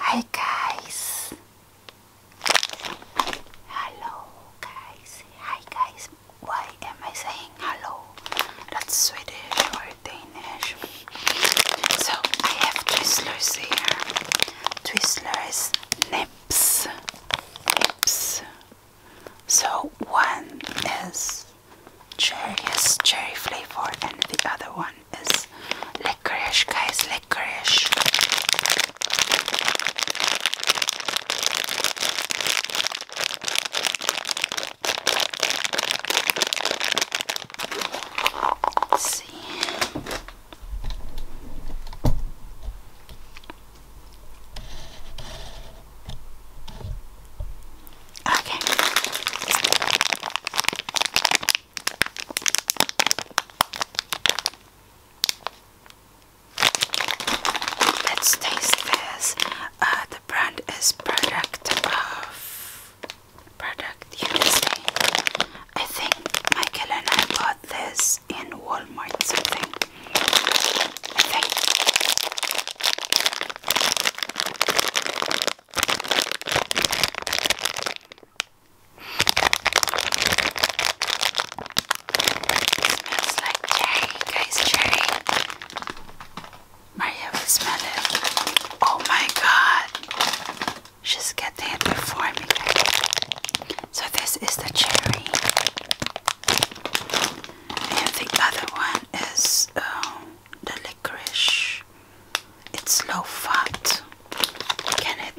Hi guys. Hello guys. Hi guys. Why am I saying hello? That's Swedish or Danish. So I have Twizzlers here. Twizzlers nips. Nips. So one is cherry, yes, cherry flavor, and the other one is licorice, guys, licorice. see. Okay. Let's taste this. Uh, the brand is product of product USA. I think Michael and I bought this was in Walmart something. It smells like cherry, guys, cherry. Maria will smell it. Oh my god. She's getting it before me. So this is the cherry. And the other one is um, the licorice. It's low fat. Can it?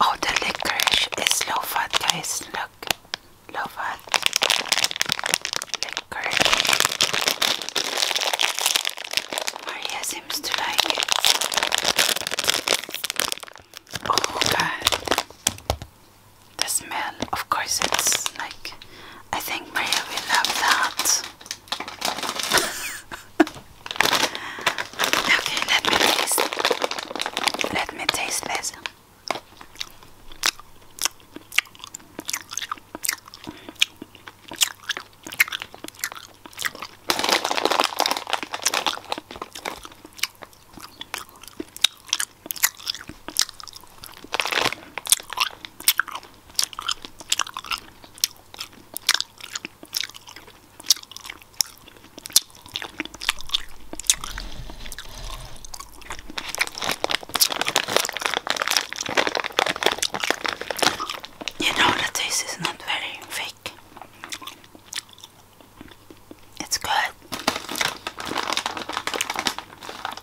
Oh, the licorice is low fat, guys. Look, low fat licorice. Maria seems to like it. Oh, God. This man, of course it's like I think Maria will love that okay let me taste let me taste this you know that this is not very thick. It's good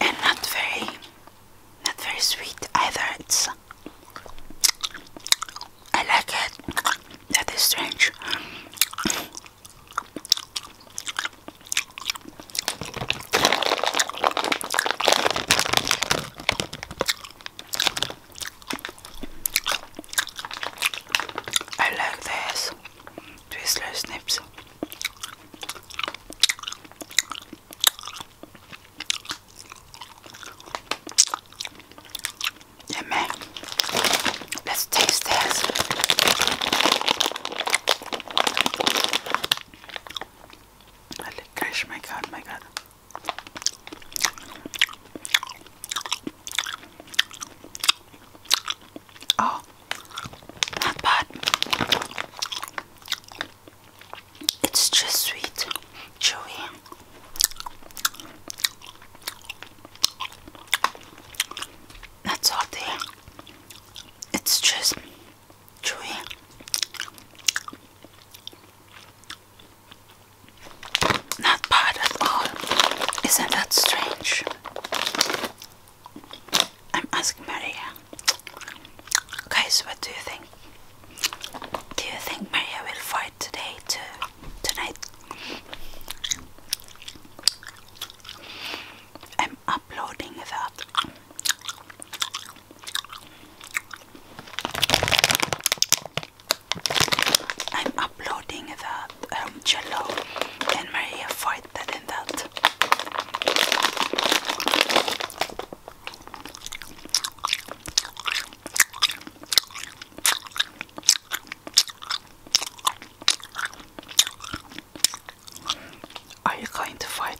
and not very not very sweet either. It's I like it. That is strange. I like this Twizzler snips. Yeah, man. Let's taste this. Holy gosh, my god, oh my god. Oh, not bad. It's just sweet, chewy. Not salty. It's just chewy. Not bad at all. Isn't that strange? I'm asking Maria. Guys, what do you think? Do you think Maria will fight today too? Tonight? I'm uploading that. I'm uploading that Jello um, and Maria fight that and that. Are you going to fight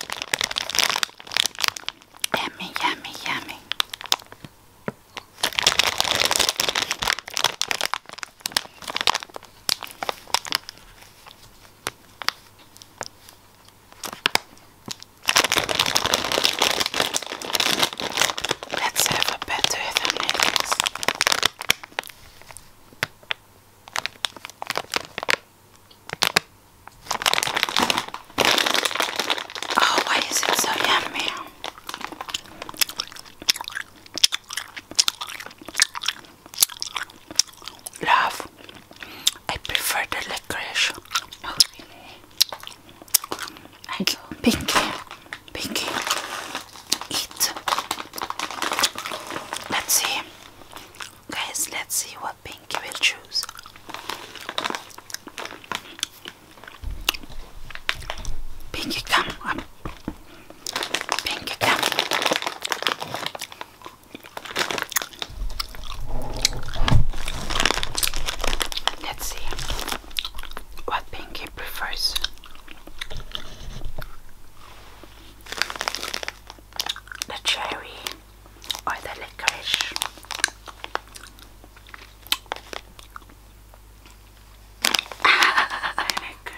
Yummy, yummy, yummy. Let's have a better than this. Oh, why is it so yummy? Love, I prefer the licorice. Oh, I do. Pinky, pinky, eat. Let's see. Guys, let's see what Pinky will choose. Pinky, come on. Pinky, come. Let's see what Pinky prefers the cherry or the licorice. licorice.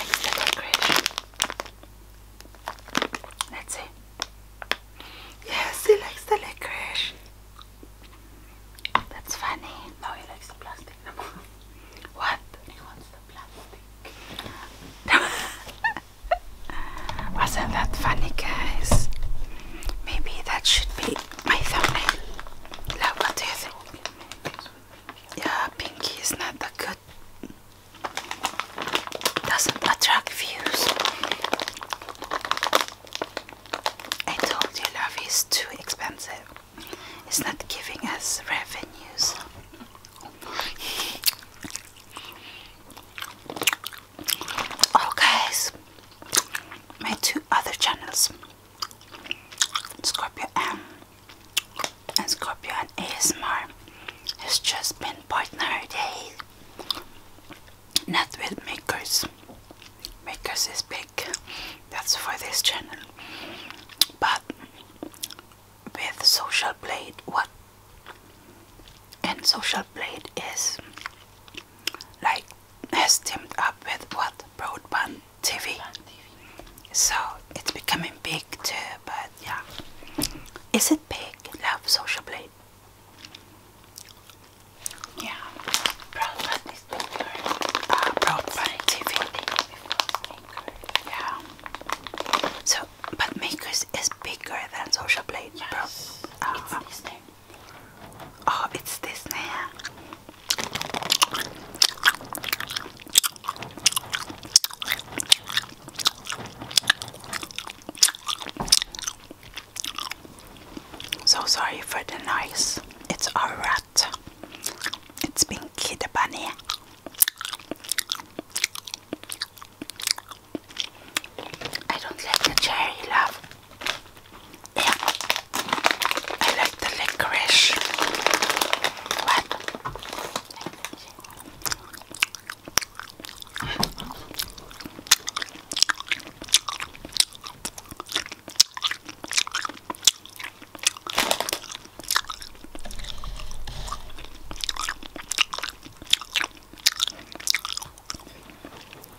Like the licorice. Let's Yes, he likes the licorice. That's funny. No, he likes the plastic. what? plastic. Wasn't that funny, guys? Maybe that should be my thumbnail. Love, what do you think? Yeah, pinky is not that good. Doesn't attract views. I told you love is too expensive. It's not giving us revenues. Oh, my two other channels, Scorpio M and Scorpio ASMR, has just been partnered. day. with makers. Makers is big. That's for this channel. But with Social Blade, what and Social Blade is like has teamed up with what Broadband TV, so it's becoming big too. But yeah, is it big? Love Social Blade. Yeah, uh, so, but Makers is bigger than Social Blade. Yes. Uh, it's Disney. Oh, it's Disney. So sorry for the noise. It's our rat. It's Pinky the Bunny. I don't like the cherry, love. Yeah, I like the licorice.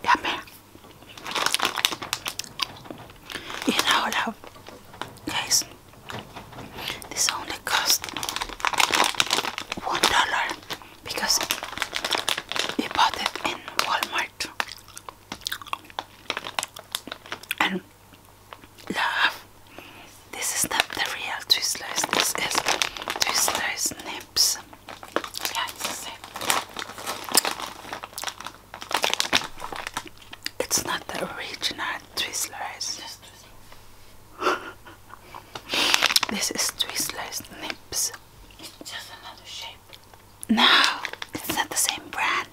Yummy. You know, love, guys, this only cost one dollar because you bought it in Walmart and love. This is not the real Twizzlers. This is Twizzlers nips. Yeah, it's the same. It's not the original Twizzlers. this is Twizzlers nips. It's just another shape. No, it's not the same brand.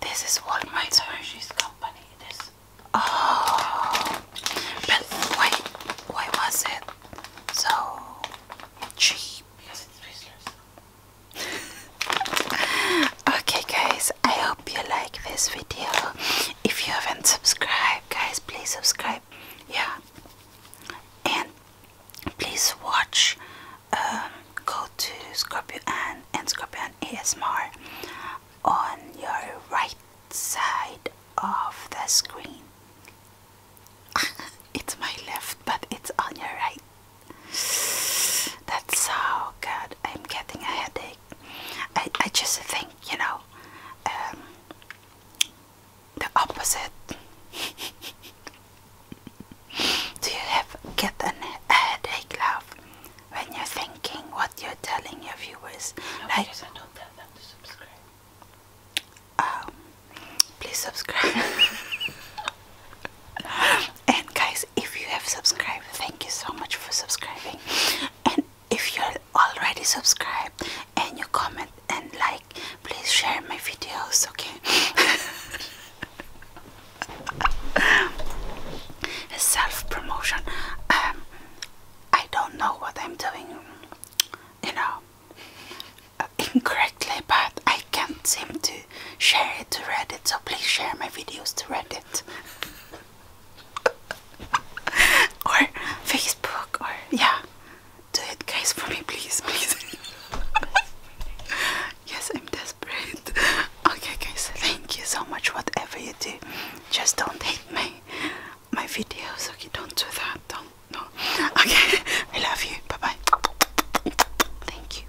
This is Walmart. It's Hershey's company. This. Oh, but why? Why was it so cheap? okay, guys. I hope you like this video if you haven't subscribed guys please subscribe yeah and please watch um, go to Scorpio and Scorpio Ann ASMR on your right side of the screen it's my left but it's on your right that's so good I'm getting a headache I, I just think, you know, um, the opposite. Do you have get an, a headache, love, when you're thinking what you're telling your viewers? like, because subscribe. Um, please subscribe. and guys, if you have subscribed thank you so much for subscribing and if you're already subscribed and you comment and like please share my videos okay self-promotion um I don't know what I'm doing you know uh, incorrectly but I can't seem to share it to Reddit so please share my videos to Reddit or Facebook or yeah. Do it guys for me please please Yes I'm desperate Okay guys thank you so much whatever you do just don't hate me. my videos okay don't do that don't no okay I love you bye bye Thank you